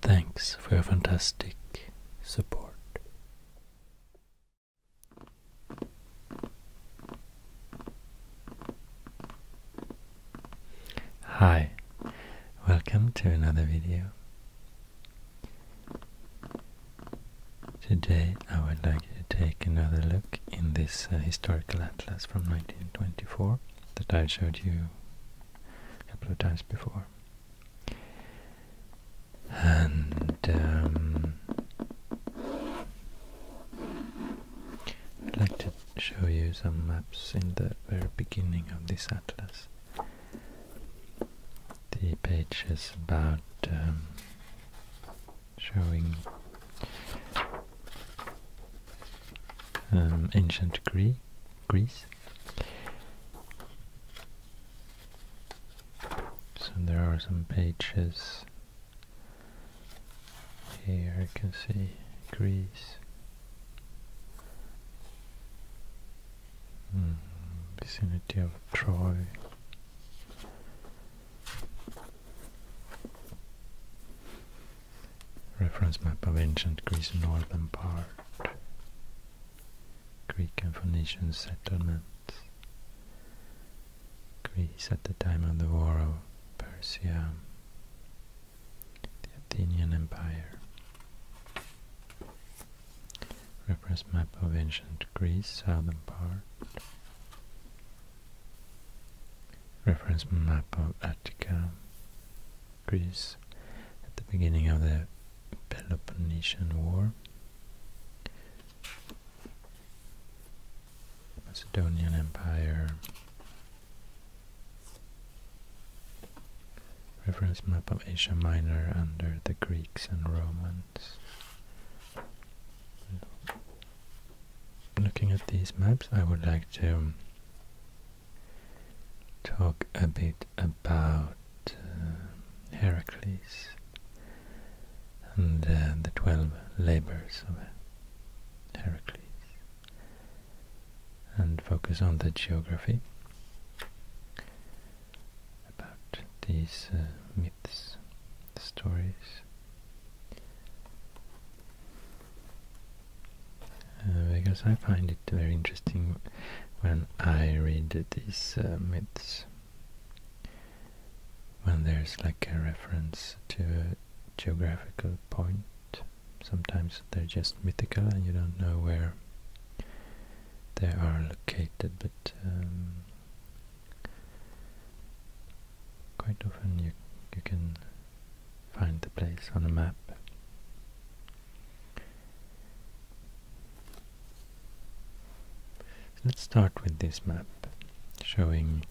Thanks for your fantastic support. Hi, welcome to another video. Today I would like to take another look in this uh, historical atlas from 1924 that I showed you a couple of times before. And um, I'd like to show you some maps in the very beginning of this atlas. The page is about um, showing um, ancient Greece. Greece. So there are some pages here. You can see Greece. Hmm, vicinity of Troy. Reference map of ancient Greece northern part. Greek and Phoenician settlements. Greece at the time of the War of Persia. The Athenian Empire. Reference map of ancient Greece southern part. Reference map of Attica. Greece at the beginning of the Peloponnesian War. Macedonian Empire. Reference map of Asia Minor under the Greeks and Romans. Looking at these maps, I would like to talk a bit about uh, Heracles and uh, the 12 labors of Heracles and focus on the geography about these uh, myths, stories because uh, I find it very interesting when I read these uh, myths, when there's like a reference to a geographical point. Sometimes they're just mythical and you don't know where they are located, but um, quite often you you can find the place on a map. Let's start with this map showing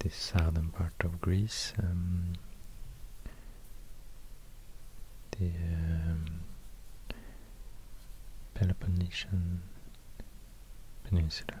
the southern part of Greece, um, the um, Peloponnesian Peninsula.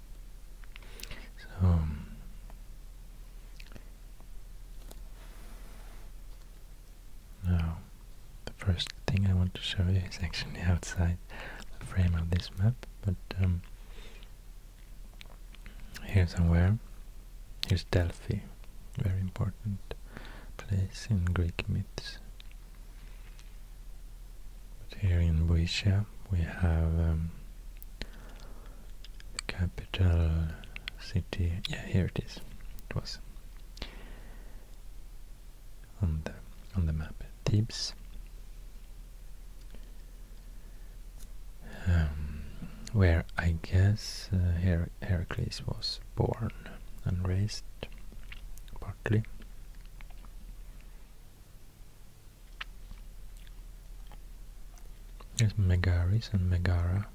So now the first thing I want to show you is actually outside the frame of this map, but um, here somewhere, here's Delphi, very important place in Greek myths. But here in Boeotia we have um, Capital city, yeah, here it is. It was on the on the map, Thebes. Um, where I guess uh, Her Heracles was born and raised, partly. There's Megaris and Megara.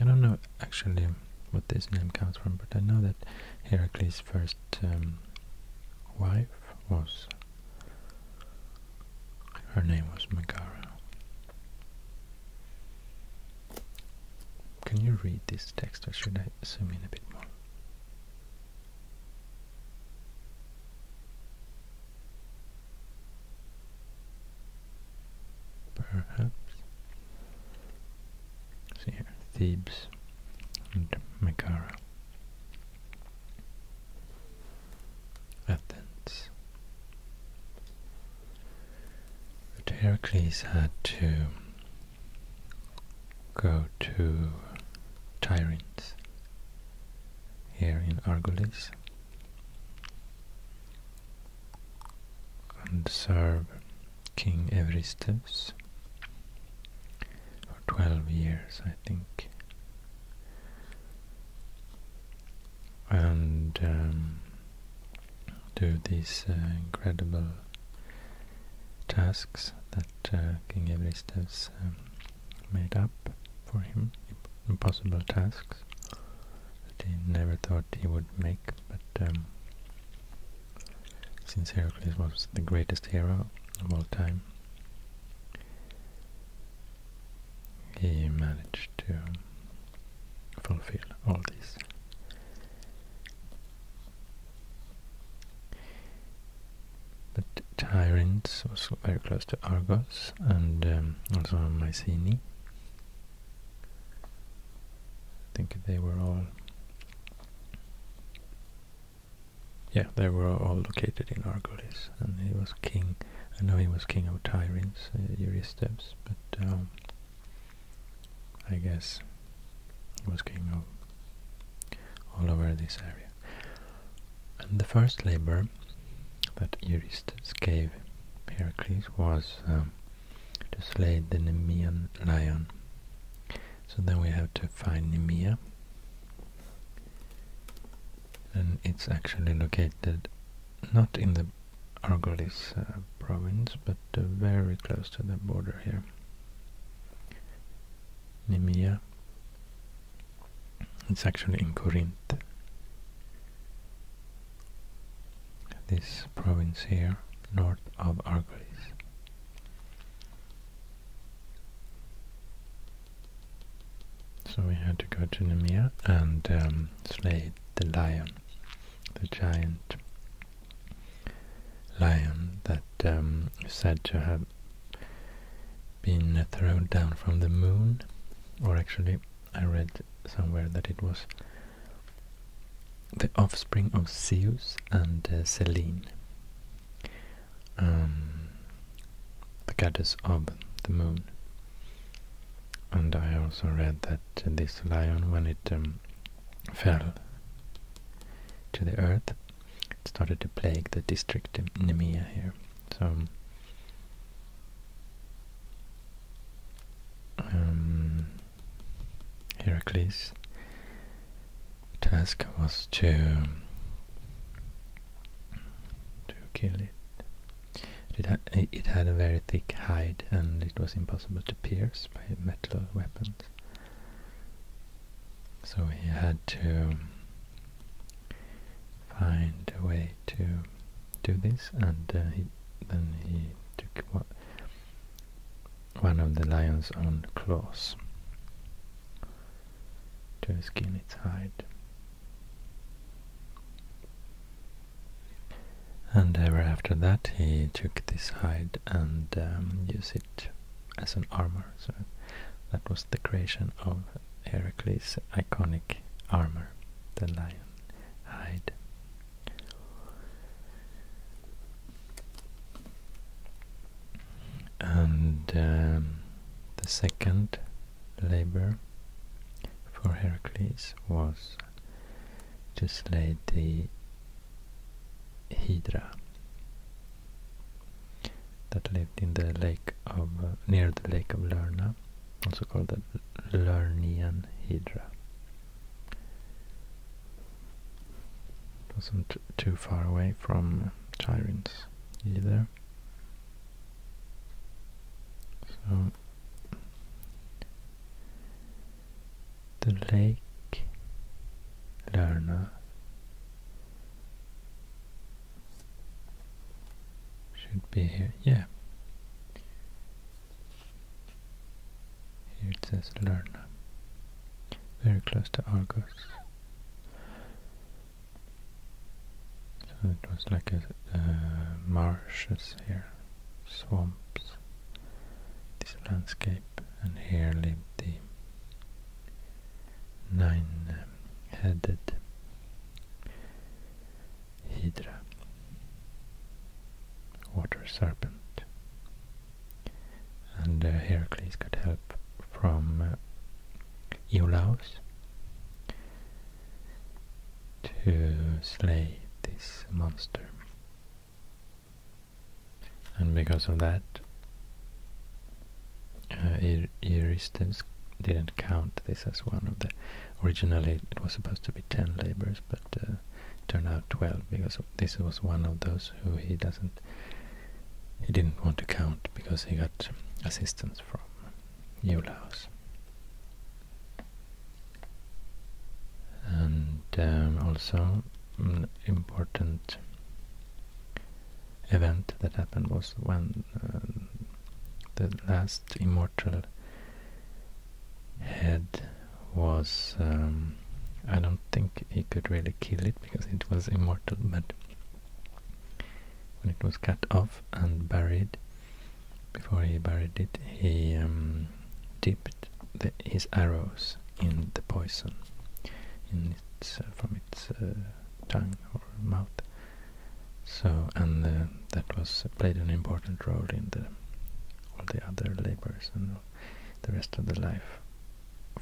I don't know actually what this name comes from, but I know that Heracles' first um, wife was... her name was Megara. Can you read this text or should I zoom in a bit more? Perhaps. See here, Thebes and Megara. Athens. But Heracles had to go to Tiryns here in Argolis and serve King Eurystheus for 12 years, I think. And um, do these uh, incredible tasks that uh, King Eurystheus um, made up for him, impossible tasks that he never thought he would make, but um, since Heracles was the greatest hero of all time, he managed to fulfill all these. But Tyrants was very close to Argos and um, also Mycenae. I think they were all yeah, they were all located in Argolis, and he was king. I know he was king of Tyrants, uh, Eurystheus, but um, I guess he was king of all over this area. And the first labor that Eurystheus gave Heracles was um, to slay the Nemean lion. So then we have to find Nemea. And it's actually located not in the Argolis uh, province, but uh, very close to the border here. Nemea it's actually in Corinth. This province here, north of Argolis. So we had to go to Nemea and um, slay the lion, the giant lion that um, said to her been thrown down from the moon, or actually I read somewhere that it was the offspring of Zeus and uh, Selene, um, the goddess of the moon. And I also read that this lion, when it um, fell to the earth, started to plague the district Nemea here. So um, Heracles' task was to to kill it. It, ha it had a very thick hide, and it was impossible to pierce by metal weapons. So he had to find a way to do this, and uh, then he took one, of the lion's own claws to skin its hide. And ever after that he took this hide and um, used it as an armor, so that was the creation of Heracles' iconic armor, the lion hide. And um, the second labor for Heracles was to slay the Hydra that lived in the lake of near the lake of Lerna also called the Lernean Hydra. It wasn't too far away from Tiryns either. So the lake Lerna should be here, yeah. Here it says Lerna. Very close to Argos. So it was like a uh, marshes here, swamps, this landscape, and here lived the nine-headed Hydra, water serpent. And uh, Heracles got help from Eolus uh, to slay this monster. And because of that, uh, Euristens didn't count this as one of the... Originally it was supposed to be 10 labors, but uh, turned out 12 because this was one of those who he doesn't... He didn't want to count because he got assistance from Eulaus. And um, also an mm, important event that happened was when uh, the last immortal mortal head was um, I don't think he could really kill it because it was immortal, but when it was cut off and buried, before he buried it, he um, dipped his arrows in the poison in its, from its uh, tongue or mouth, so and that was played an important role in all the other labors and the rest of the life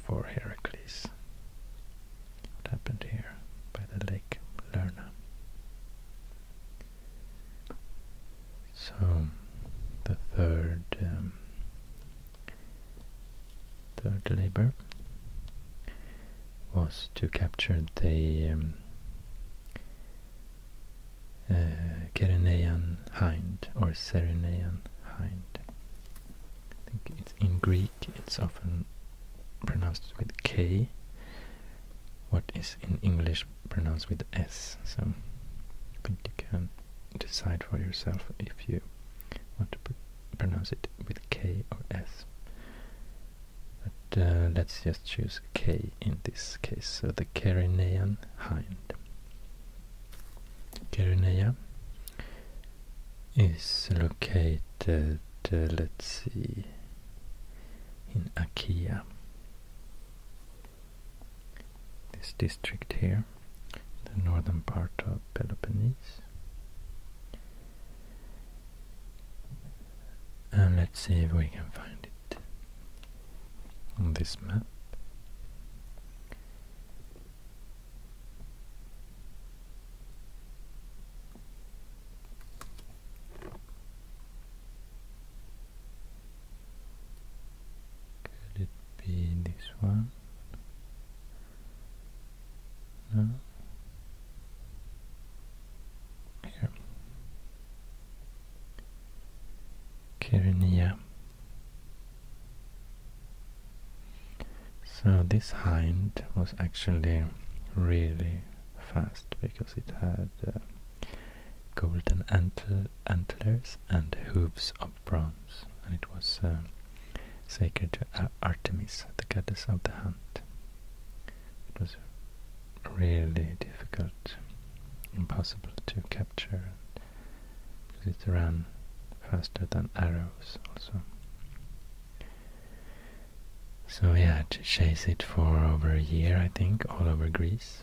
for Heracles. What happened here by the lake Lerna? So the third um, third labor was to capture the um, uh, hind or Cyrenaean hind. I think it's in Greek it's often pronounced with K, what is in English pronounced with S. So I you can decide for yourself if you want to pronounce it with K or S. But uh, let's just choose K in this case, so the Carinaean hind. Carinea is located, uh, let's see, in Achaea. This district here, the northern part of Peloponnese. And let's see if we can find it on this map. Could it be this one? No. Here. So this hind was actually really fast because it had uh, golden antlers and hooves of bronze and it was uh, sacred to Artemis, the goddess of the hunt really difficult, impossible to capture, because it ran faster than arrows also. So he had to chase it for over a year, I think, all over Greece,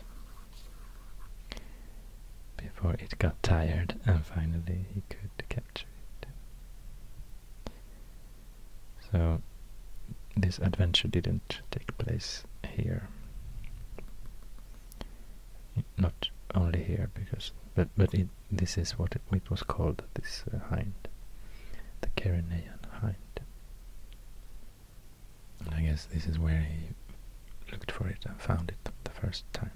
before it got tired and finally he could capture it. So this adventure didn't take place here. Not only here, because but but this is what it, was called. This uh, hind, the Carinaean hind. And I guess this is where he looked for it and found it the first time.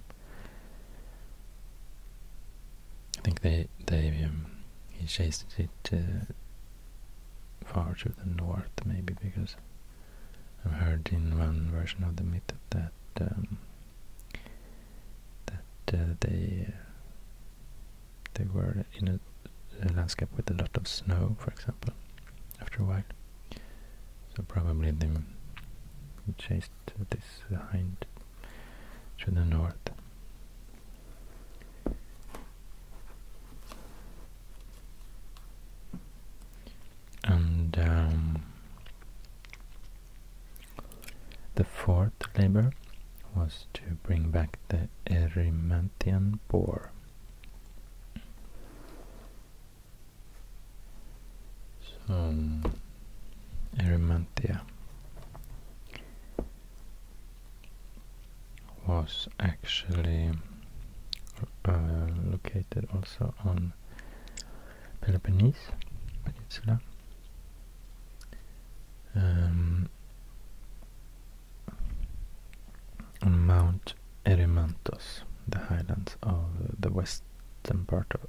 I think they they um, he chased it uh, far to the north, maybe, because I've heard in one version of the myth that um, that uh, they uh, they were in a, landscape with a lot of snow, for example, after a while. So probably they chased this hind to the north and um, the fourth labor was to bring back the Erymanthean boar. So, Erymanthia was actually uh, located also on Peloponnese Peninsula. Um, on Mount Erymanthos, the highlands of the western part of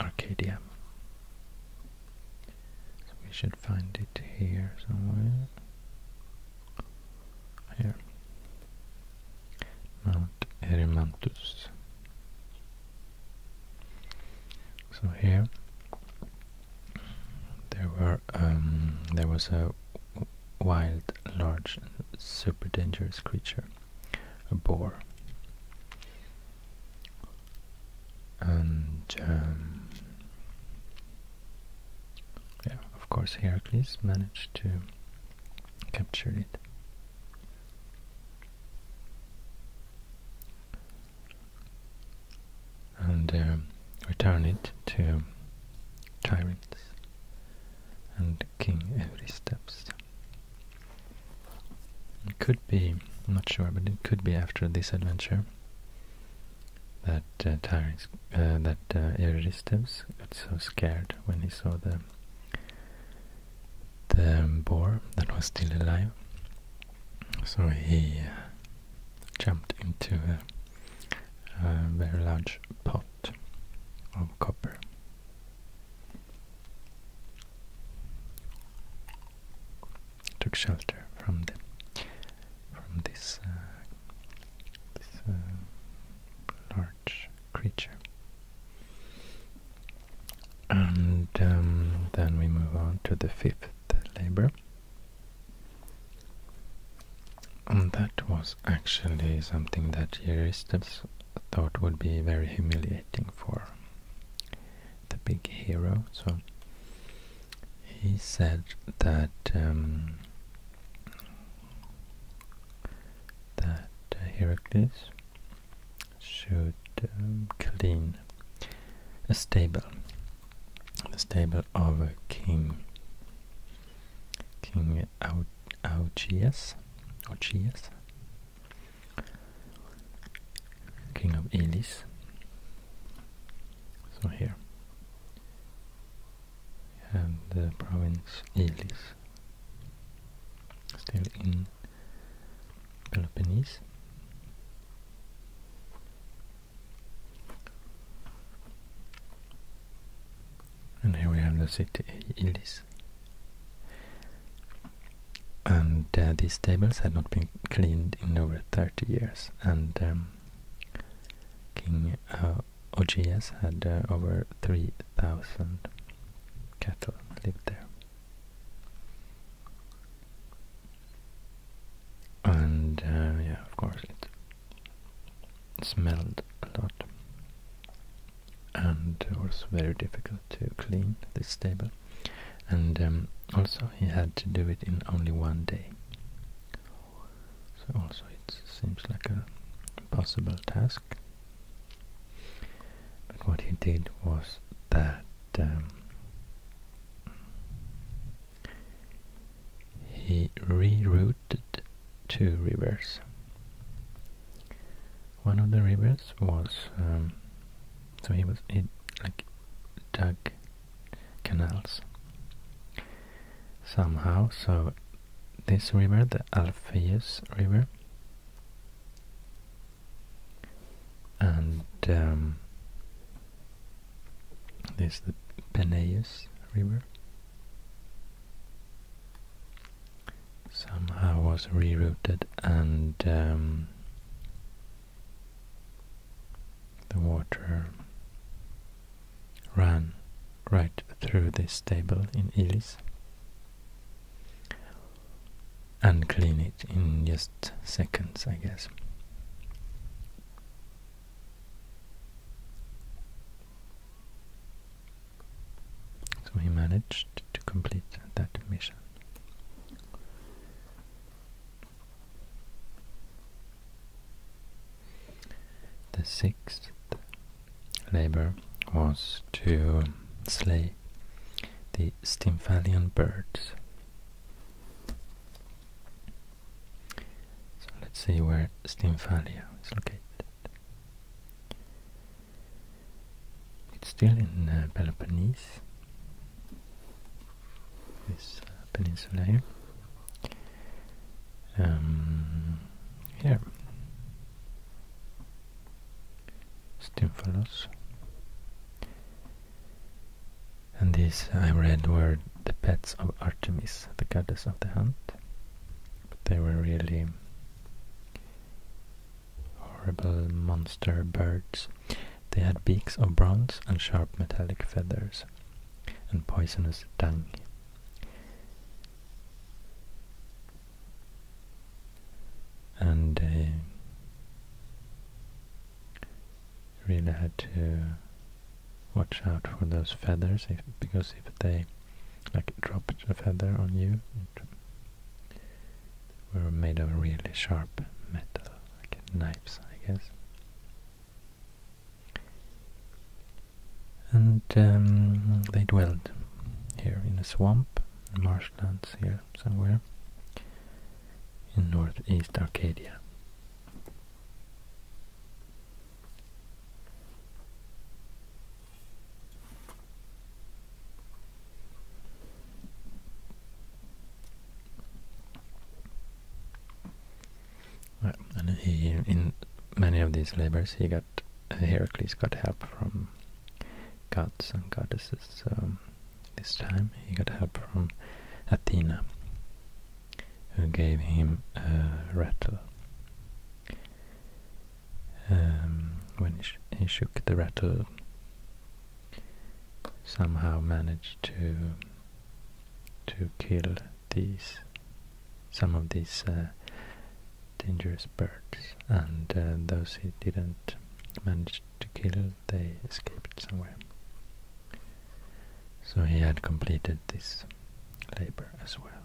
Arcadia we should find it here somewhere. Here. Mount Erymanthus. So here there were um, there was a wild, large, super dangerous creature, a boar and um, yeah, of course Heracles managed to capture it. And um, return it to tyrants and King Eurystheus. It could be, I'm not sure, but it could be after this adventure that uh, Tyrus, uh, that uh, got so scared when he saw the the um, boar that was still alive, so he uh, jumped into a very large pot of copper took shelter from the from this uh, uh, large creature. And um, then we move on to the fifth labor. And that was actually something that Eurystheus thought would be very humiliating for the big hero. So he said that um, that uh, Heracles should um, clean a stable, the stable of a king, King Au Augeas, king of Elis. So here we have the province Ilis, still in Peloponnese. And here we have the city Ilis. And uh, these tables had not been cleaned in over 30 years and um, King uh, had uh, over 3,000 cattle lived there. And uh, yeah, of course, it smelled a lot and it was very difficult to clean this stable. And um, also he had to do it in only one day. So also it seems like a possible task. But what he did was that um, he rerouted two rivers. One of the rivers was um, so he was he like dug canals somehow. So this river, the Alpheus River, and um, this the Peneus River, somehow was rerouted and um, the water ran right through this table in Elis and clean it in just seconds, I guess. So he managed to complete that mission. The sixth labor was to slay the Stymphalian birds. So let's see where Stymphalia is located. It's still in uh, Peloponnese, this uh, peninsula here. Um, here, Stymphalos. And these I read were the pets of Artemis, the goddess of the hunt. they were really horrible monster birds. They had beaks of bronze and sharp metallic feathers, and poisonous tongue. And really had to watch out for those feathers, because if they like dropped a feather on you, were made of really sharp metal, like knives, I guess. And um, they dwelled here in a swamp, marshlands here somewhere, in northeast Arcadia and in many of these labors he got Heracles got help from gods and goddesses. this time he got help from Athena, who gave him a rattle. Um, when he shook the rattle, somehow managed to to kill these some of these uh, dangerous birds and uh, those he didn't manage to kill they escaped somewhere so he had completed this labor as well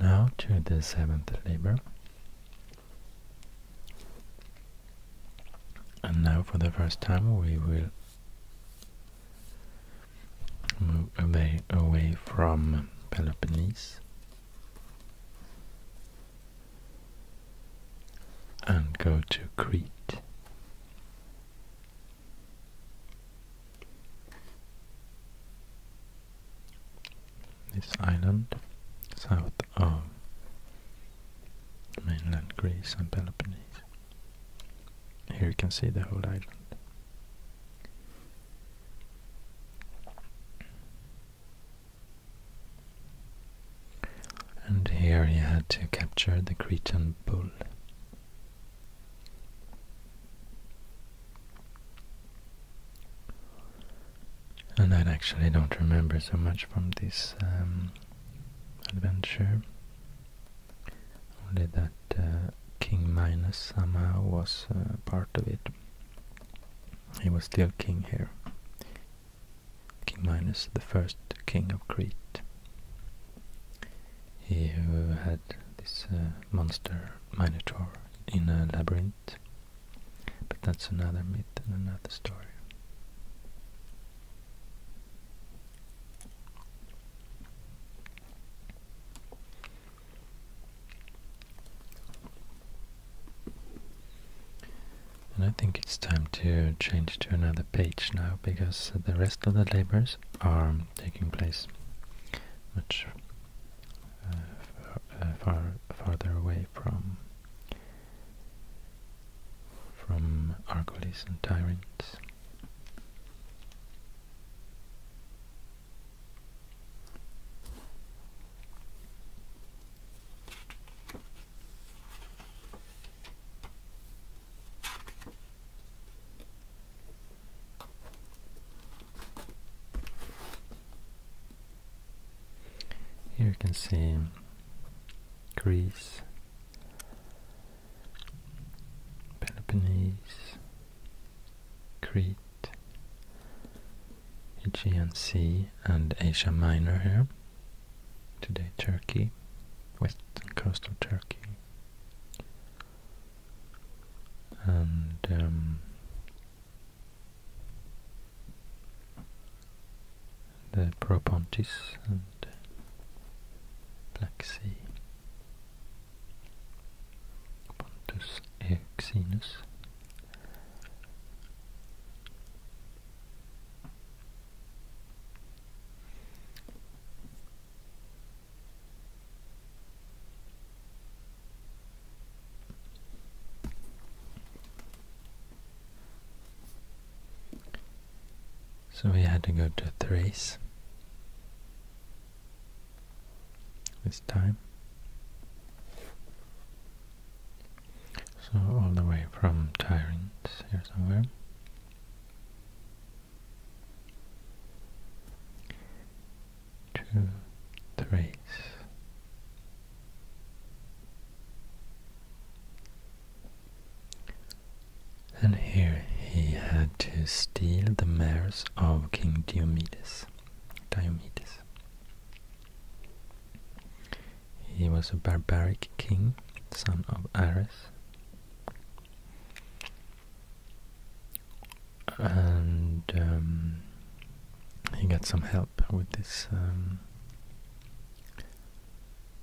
now to the seventh labor and now for the first time we will move away, away from Peloponnese and go to Crete. This island south of mainland Greece and Peloponnese. Here you can see the whole island. And here he had to capture the Cretan bull. And I actually don't remember so much from this um, adventure. Only that uh, King Minos somehow was uh, part of it. He was still king here. King Minos, the first king of Crete. He who had this uh, monster Minotaur in a labyrinth. But that's another myth and another story. And I think it's time to change to another page now, because the rest of the labors are taking place much uh, uh, far, farther away from from Argolis and tyrants. Here you can see Greece, Peloponnese, Crete, Aegean Sea and Asia Minor here. Today Turkey, western coast of Turkey. And um, the Propontis and Black Sea. Pontus Euxenus. So we had to go to Thrace this time. So all the way from Tyrant here somewhere. To Thrace. And here he had to steal the mares of King Diomedes. Diomedes. He was a barbaric king, son of Ares. And um, he got some help with this um,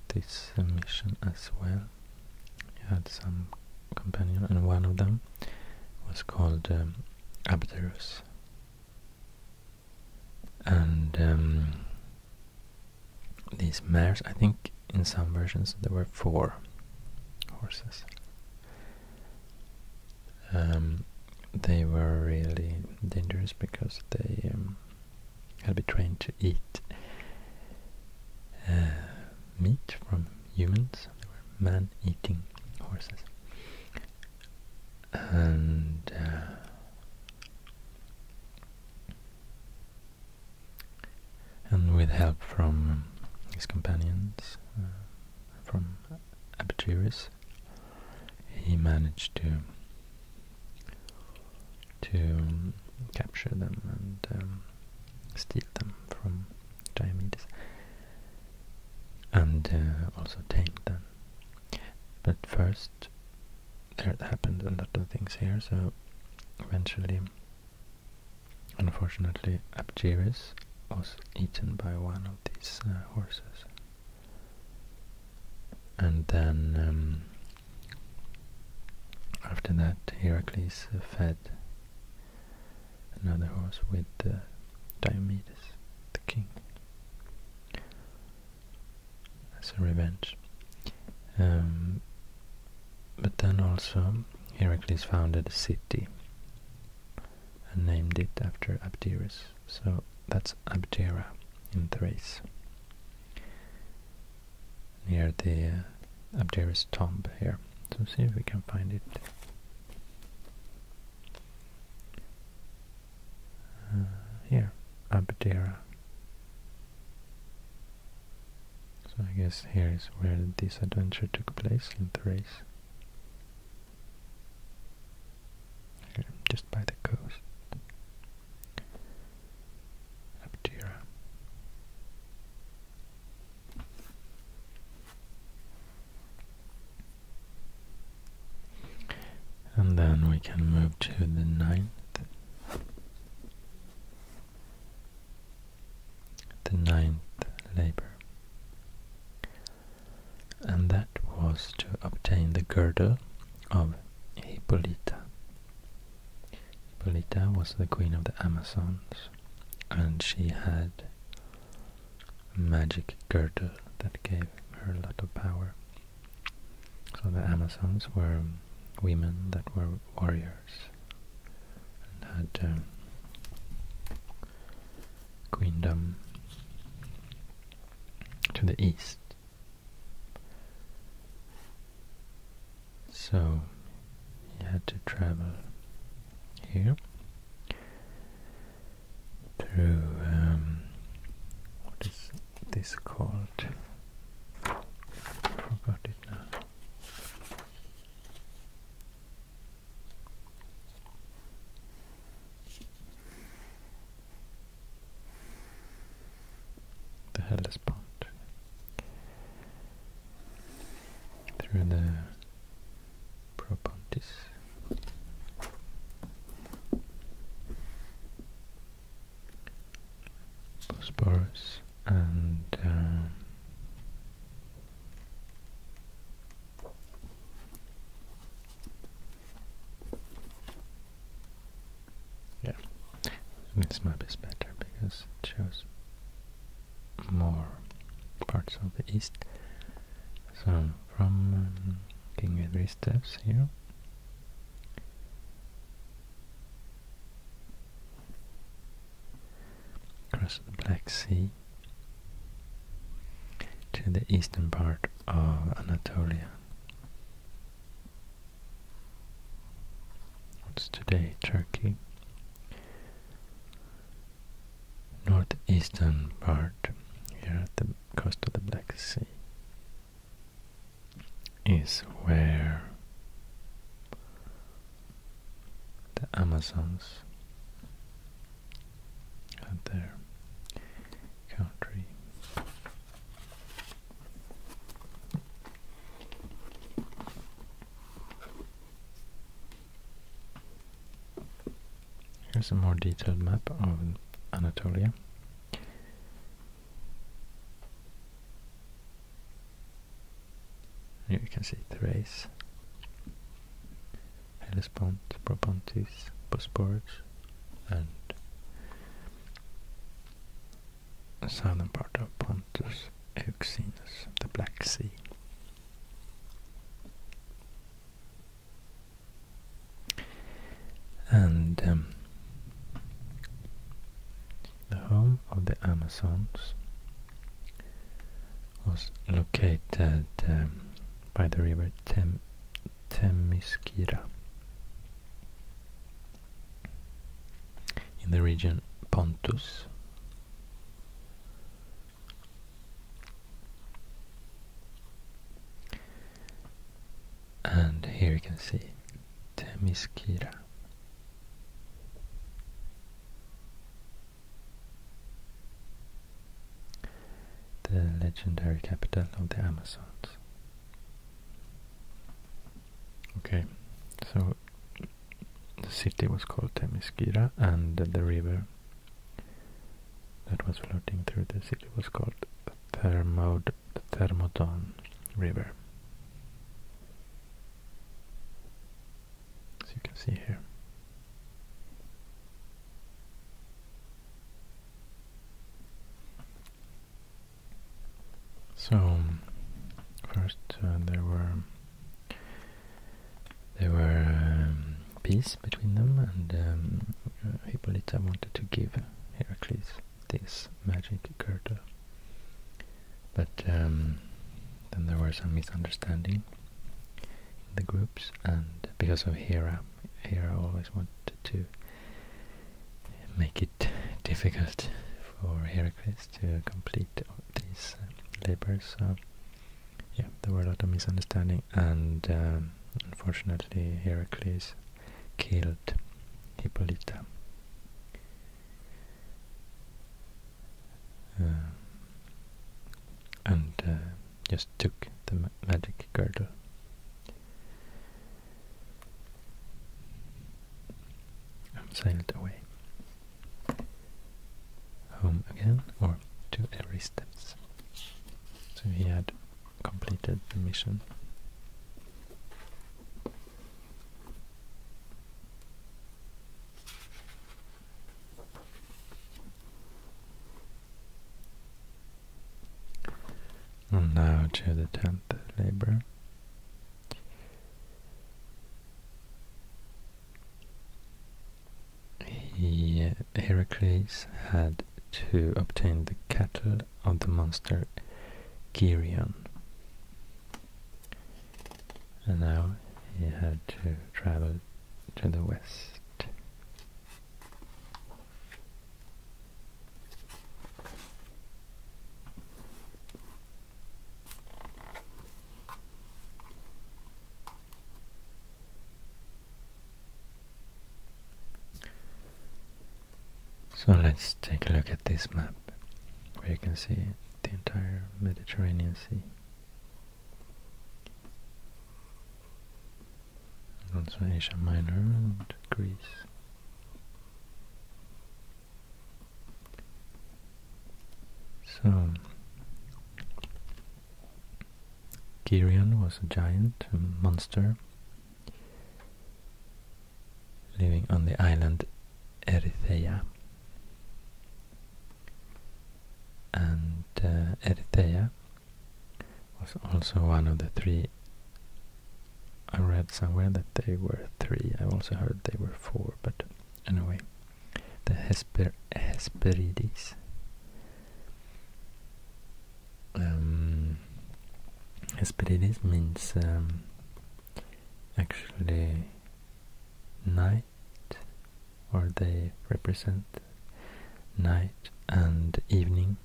this mission as well. You had some companion, and one of them was called um, Abderus. And um, these mares, I think in some versions there were four horses. Um, they were really dangerous because they got will be trained to eat uh, meat from humans. They were man-eating horses. And uh, and with help from his companions, uh, from Abturus, he managed to to capture them and um, steal them from Diomedes and uh, also tame them. But first, there happened a lot of things here, so eventually, unfortunately, Abjerus was eaten by one of these uh, horses. And then um, after that, Heracles fed another horse with Diomedes, the king, as a revenge. Um, but then also, Heracles founded a city and named it after Abderus, so that's Abdera in Thrace near the uh, tomb here. So see if we can find it. Uh, here, Abdera. So I guess here is where this adventure took place in Thrace. just by the coast. Aptera. And then we can move to the ninth. The ninth labor. And that was to obtain the girdle of Hippolyta. Hippolyta was the queen of the Amazons and she had a magic girdle that gave her a lot of power. So the Amazons were women that were warriors and had um, queendom to the east so he had to travel here through um, what is this called? forgot it now the Hellespont through the Propontis. Bosporus and um, yeah. This map is better because it shows more parts of the east. So from um, King Edward steps here. Across the Black Sea to the eastern part of Anatolia What's today? Turkey. Northeastern part, here at the coast of the Black Sea, is where the Amazons had their country. Here's a more detailed map of Anatolia. Here you can see Thrace, Hellespont, Propontis, Bosporus, and southern part of Pontus, Euxinus, the Black Sea. And um, the home of the Amazons was located um, by the river Tem in the region Pontus. And here you can see Themyscira. The legendary capital of the Amazons. Okay, so the city was called Temiskira and the river that was floating through the city was called Thermod Thermodon River. As you can see here. So, first uh, there were there were um, peace between them, and um, uh, Hippolyta wanted to give Heracles this magic girdle, but um, then there was some misunderstanding in the groups, and because of Hera, Hera always wanted to make it difficult for Heracles to complete these uh, labors. yeah, there were a lot of misunderstanding, and um, unfortunately, Heracles killed Hippolyta. Um, and uh, just took the magic girdle and sail it away. Home again, or to every steps. So he had completed the mission. And now to the tenth labor. He, Heracles had to obtain the cattle of the monster Geryon. And now he had to travel to the west. So let's take a look at this map, where you can see the entire Mediterranean Sea. also Asia Minor and Greece. So, Geryon was a giant, a monster, living on the island Erythea. And uh, was also one of the three I read somewhere that they were three. I also heard they were four, but anyway, the Hesperides. Um, Hesperides means um, actually night, or they represent night and evening,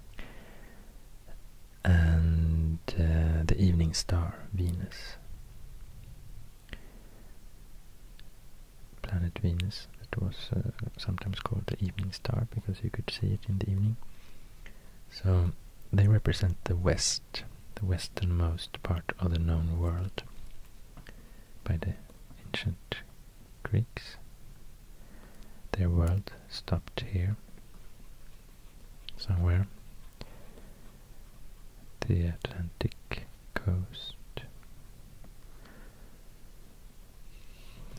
and uh, the evening star, Venus. Planet Venus, that was uh, sometimes called the evening star because you could see it in the evening. So they represent the west, the westernmost part of the known world by the ancient Greeks. Their world stopped here somewhere. The Atlantic coast.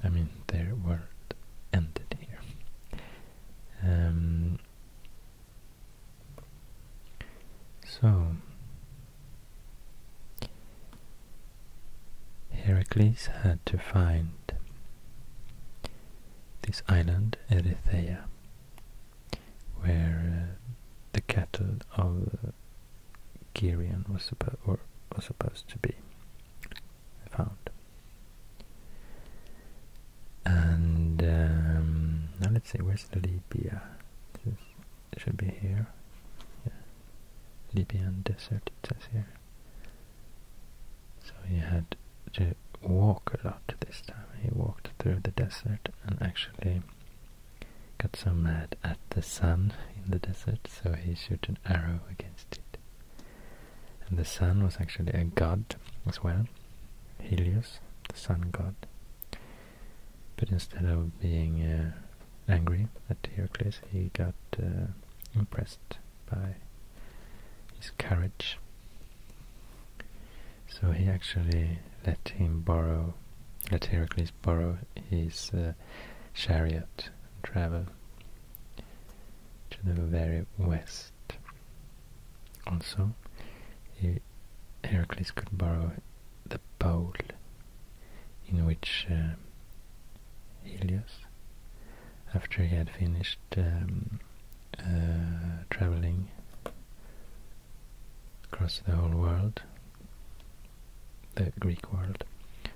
I mean, their world ended here. Um, so, Heracles had to find this island, Erythea, where uh, the cattle of uh, was, suppo was supposed to be found. And um, now let's see, where's Libya? This should be here. Libyan desert, it says here. So he had to walk a lot this time. He walked through the desert and actually got so mad at the sun in the desert, so he shot an arrow against it. And the sun was actually a god as well, Helios, the sun god. But instead of being uh, angry at Heracles, he got uh, impressed by his carriage. So he actually let him borrow, let Heracles borrow his uh, chariot and travel to the very west. Also, Heracles could borrow the bowl in which uh, Helios, after he had finished um, uh, traveling across the whole world, the Greek world,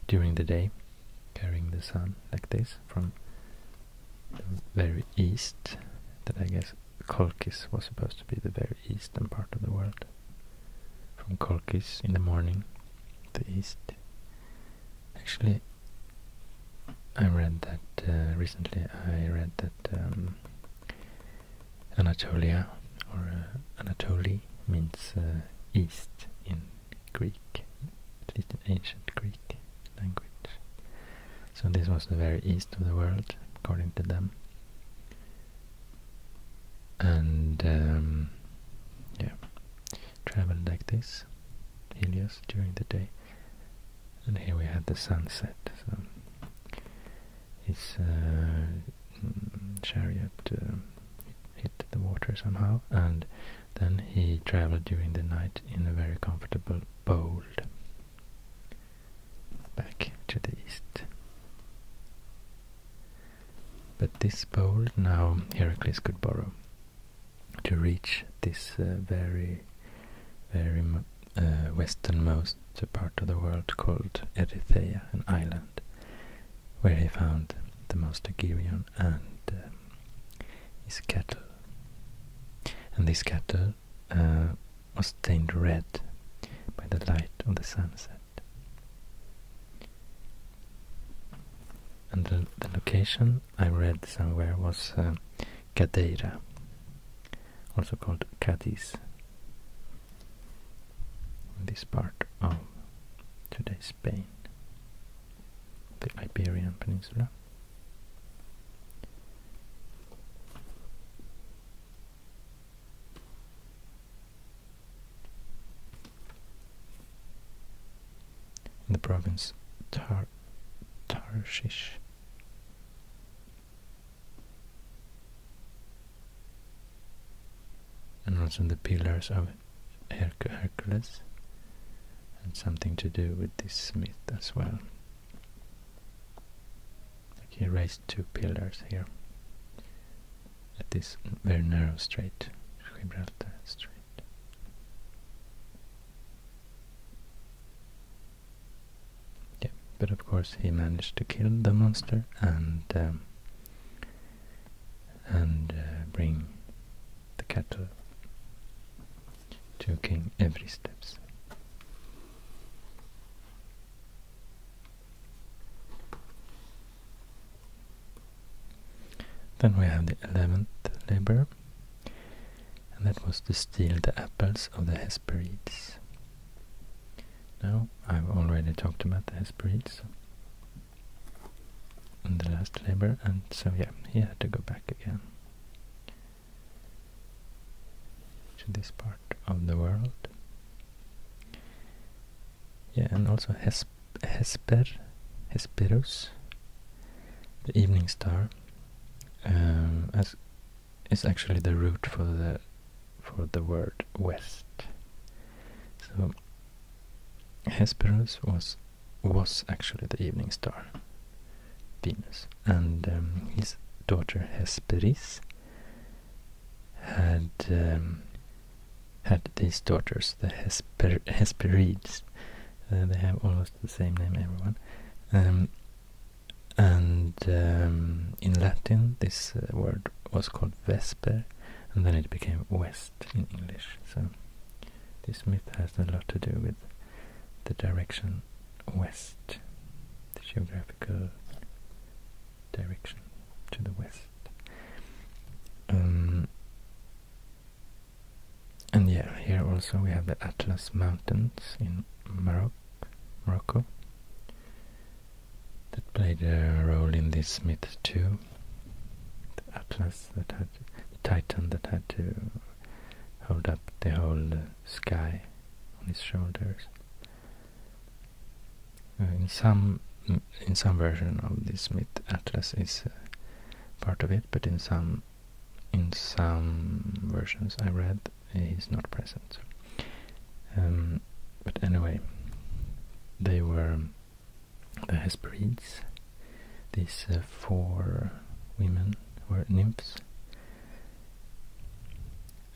during the day, carrying the sun like this from the very east, that I guess Colchis was supposed to be the very eastern part of the world. From Colchis in the morning, the east. Actually, I read that uh, recently. I read that um, Anatolia or uh, Anatoly means uh, east in Greek, at least in ancient Greek language. So this was the very east of the world, according to them. And um, yeah, traveled like this, Helios, during the day, and here we had the sunset. So his uh, mm, chariot uh, hit the water somehow, and then he traveled during the night in a very comfortable boat back to the east. But this boat now Heracles could borrow, to reach this uh, very, very uh, westernmost part of the world called Erythea, an island, where he found the master Girion and uh, his cattle. And this cattle was stained red by the light of the sunset. And the location I read somewhere was uh, also called Cadiz. This part of today's Spain, the Iberian Peninsula in the province Tar Tarshish. And also the pillars of Hercules and something to do with this myth as well. Like he raised two pillars here at this very narrow strait, Gibraltar Strait. Yeah, but of course he managed to kill the monster and um, and uh, bring the cattle to King Every Steps. Then we have the eleventh labor and that was to steal the apples of the Hesperides. Now, I've already talked about the Hesperides and the last labor, and so yeah, he had to go back again to this part of the world. Yeah, and also Hesper, Hesperus, the evening star, um, as is actually the root for the for the word west. So Hesperus was was actually the evening star, Venus, and um, his daughter Hesperis had um, had these daughters, the Hesperides. Uh, they have almost the same name, everyone. Um, and um, in Latin, this uh, word was called Vesper, and then it became West in English. So this myth has a lot to do with the direction west, the geographical direction to the west. Um, and yeah, here also we have the Atlas Mountains in Morocco, that played a role in this myth too. The Atlas that had the Titan that had to hold up the whole uh, sky on his shoulders. Uh, in some in some version of this myth, Atlas is uh, part of it, but in some in some versions I read, he's not present. Um, but anyway, they were the Hesperides. These uh, four women were nymphs.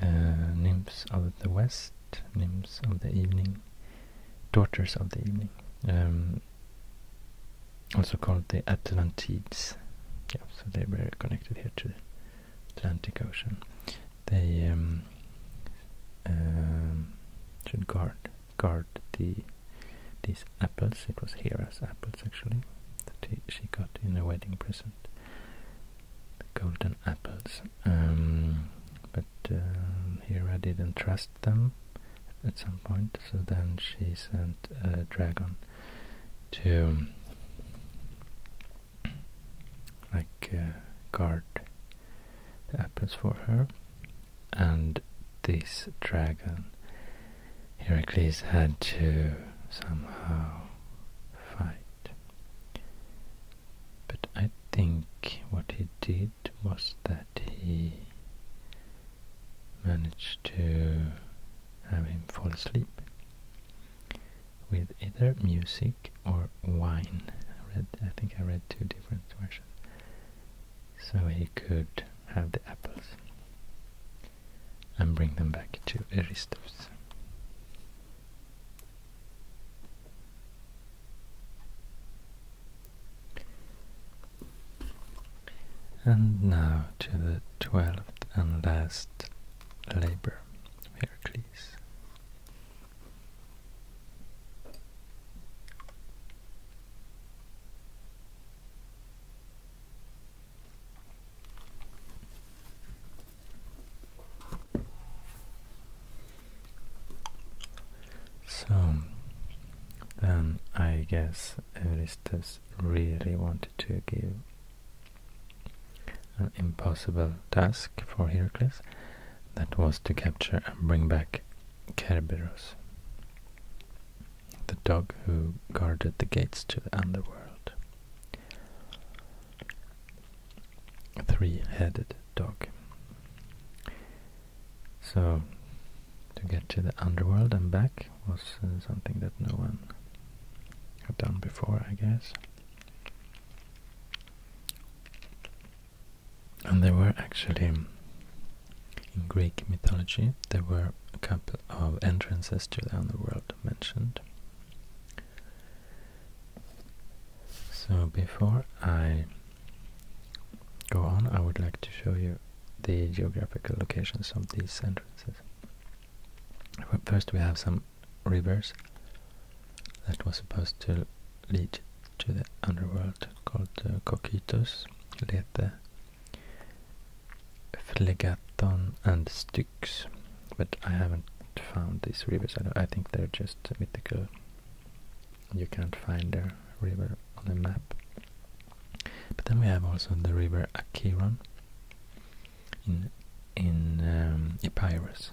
Uh, nymphs of the west, nymphs of the evening, daughters of the evening. Um, also called the Atlantides. Yeah, so they were connected here to the Atlantic Ocean. They um, um should guard guard the these apples. It was Hera's apples actually that she got in a wedding present. The golden apples. Um, but um, Hera didn't trust them at some point, so then she sent a dragon to like uh, guard the apples for her and this dragon Heracles had to somehow fight but I think what he did was that he managed to have him fall asleep with either music or wine. I read, I think I read two different versions. So he could have the apples and bring them back to Aristos. And now to the twelfth and last labor of Heracles. So then I guess Eurystheus really wanted to give an impossible task for Heracles that was to capture and bring back Kerberos, the dog who guarded the gates to the underworld. Three-headed dog. So, to get to the underworld and back, was uh, something that no one had done before, I guess. And there were actually, um, in Greek mythology, there were a couple of entrances to the underworld mentioned. So before I go on, I would like to show you the geographical locations of these entrances. First we have some rivers that was supposed to lead to the underworld called the uh, Cocytus, the Phlegaton and the Styx, but I haven't found these rivers. I, think they're just mythical. You can't find their river on a map. But then we have also the river Acheron in in um, Epirus.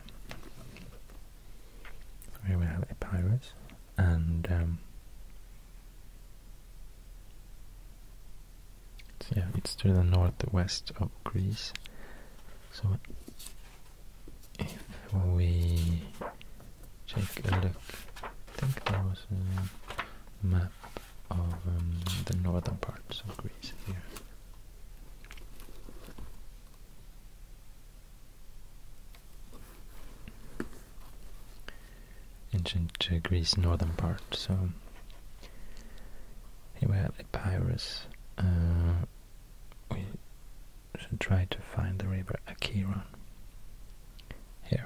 Here we have Epirus and it's, um, yeah, it's to the northwest of Greece. So if we take a look, I think there was a map of um, the northern parts of Greece here. Ancient uh, Greece northern part. So here we have Epirus. Uh, we should try to find the river Acheron here.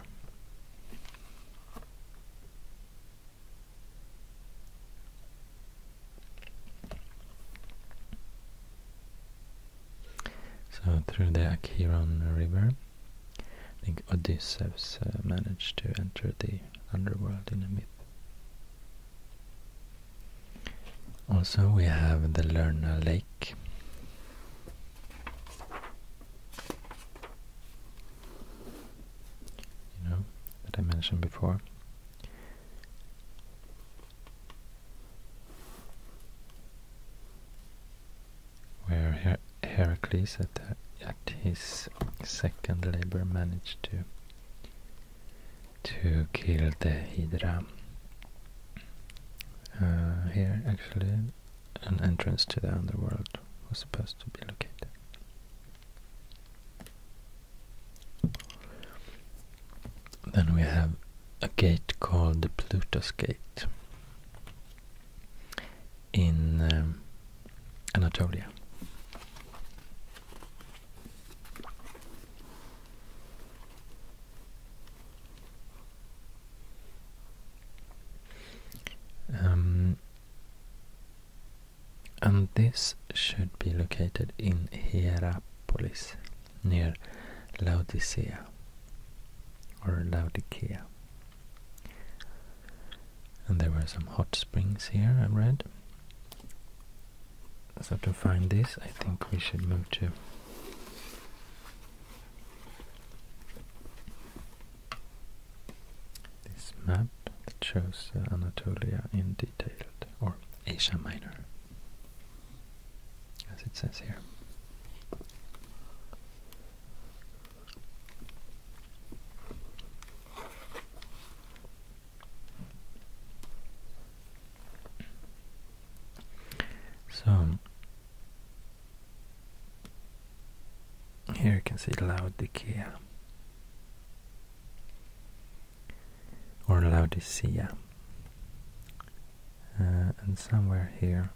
So through the Acheron River, I think Odysseus uh, managed to enter the underworld in a myth. Also we have the Lerna Lake you know, that I mentioned before. Where Heracles at, his second labor managed to to kill the Hydra. Uh, here actually an entrance to the underworld was supposed to be located. Then we have a gate called the Pluto's Gate in um, Anatolia. Um, and this should be located in Hierapolis, near Laodicea or Laodicea. And there were some hot springs here, I read. So to find this, I think we should move to this map that shows uh, Anatolia in detail, or Asia Minor, as it says here. So, here you can see Laodicea or Laodicea, uh, and somewhere here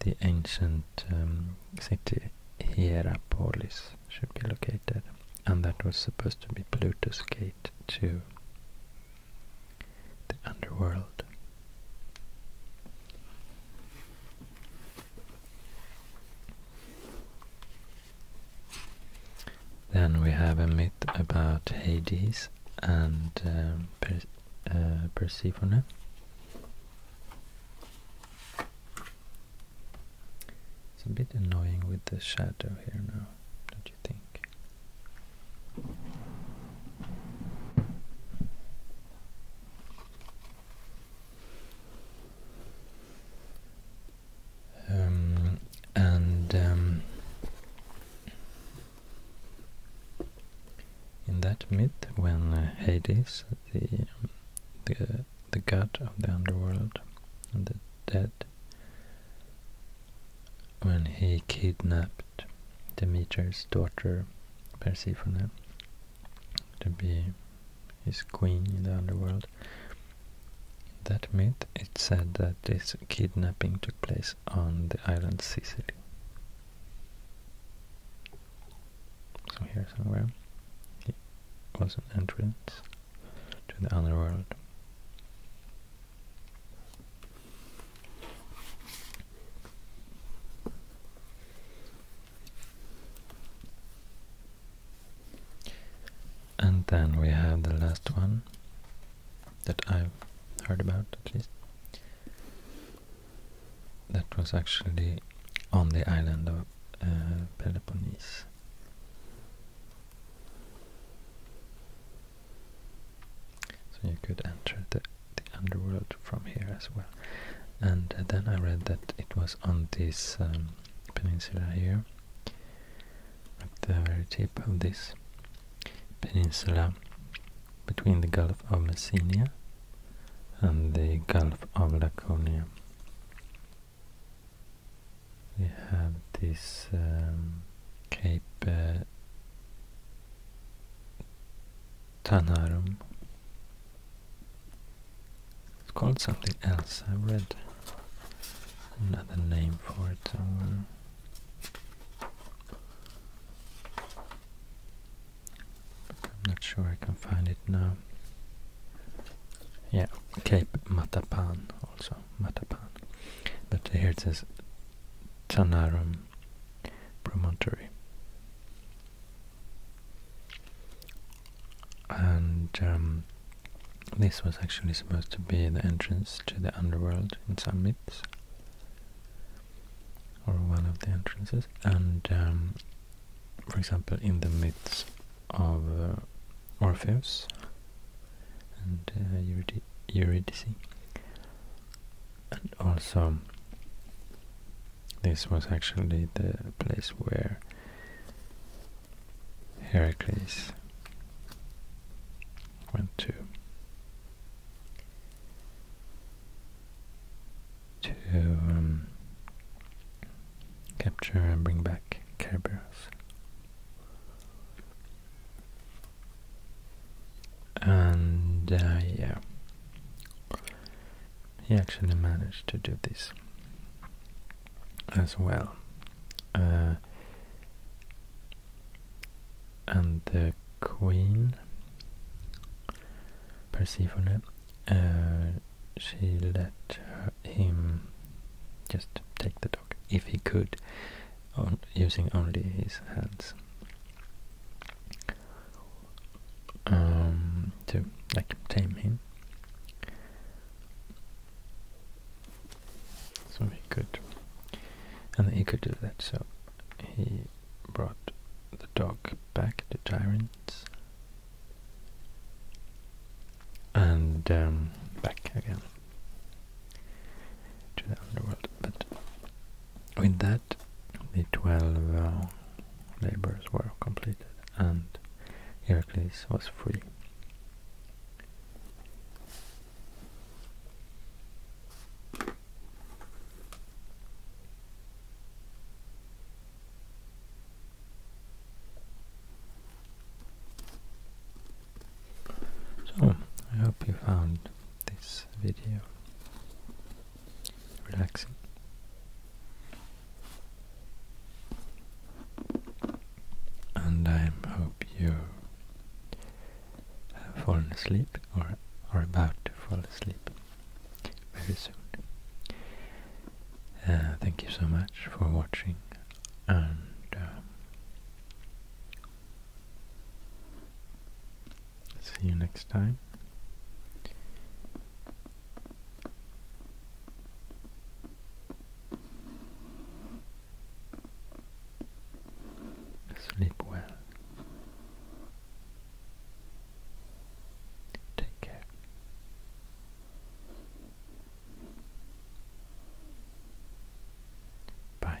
the ancient um, city Hierapolis should be located, and that was supposed to be Pluto's gate to the underworld. Then we have a myth about Hades and um, uh, Persephone. It's a bit annoying with the shadow here now, don't you think? Um, and um, in that myth, when Hades, the the the god of the underworld and the dead, when he kidnapped Demeter's daughter Persephone to be his queen in the underworld. In that myth, it said that this kidnapping took place on the island Sicily. So here somewhere, it was an entrance to the underworld. And then we have the last one that I've heard about at least. That was actually on the island of uh, Peloponnese. So you could enter the underworld from here as well. And uh, then I read that it was on this um, peninsula here, at the very tip of this peninsula, between the Gulf of Messina and the Gulf of Laconia. We have this um, Cape uh, Tanarum. It's called something else. I read another name for it somewhere. I'm not sure I can find it now. Yeah, Cape Matapan also. Matapan. But here it says Tanarum Promontory and um, this was actually supposed to be the entrance to the underworld in some myths, or one of the entrances. And um, for example, in the myths of uh, Orpheus and uh, Eurydice, and also this was actually the place where Heracles went to to um, capture and bring back Kerberos. And uh, yeah, he actually managed to do this as well. Uh, and the queen, Persephone, uh, she let him just take the dog if he could, using only his hands. Um, to like tame him. So he could, and he could do that. So he brought the dog back, to Tyrants and um, back again to the underworld. But with that, the twelve. Uh, labors were completed and Heracles was free. So, I hope you found this video relaxing. And I hope you have fallen asleep or are about to fall asleep very soon. Uh, thank you so much for watching and uh, see you next time. Sleep well. Take care. Bye.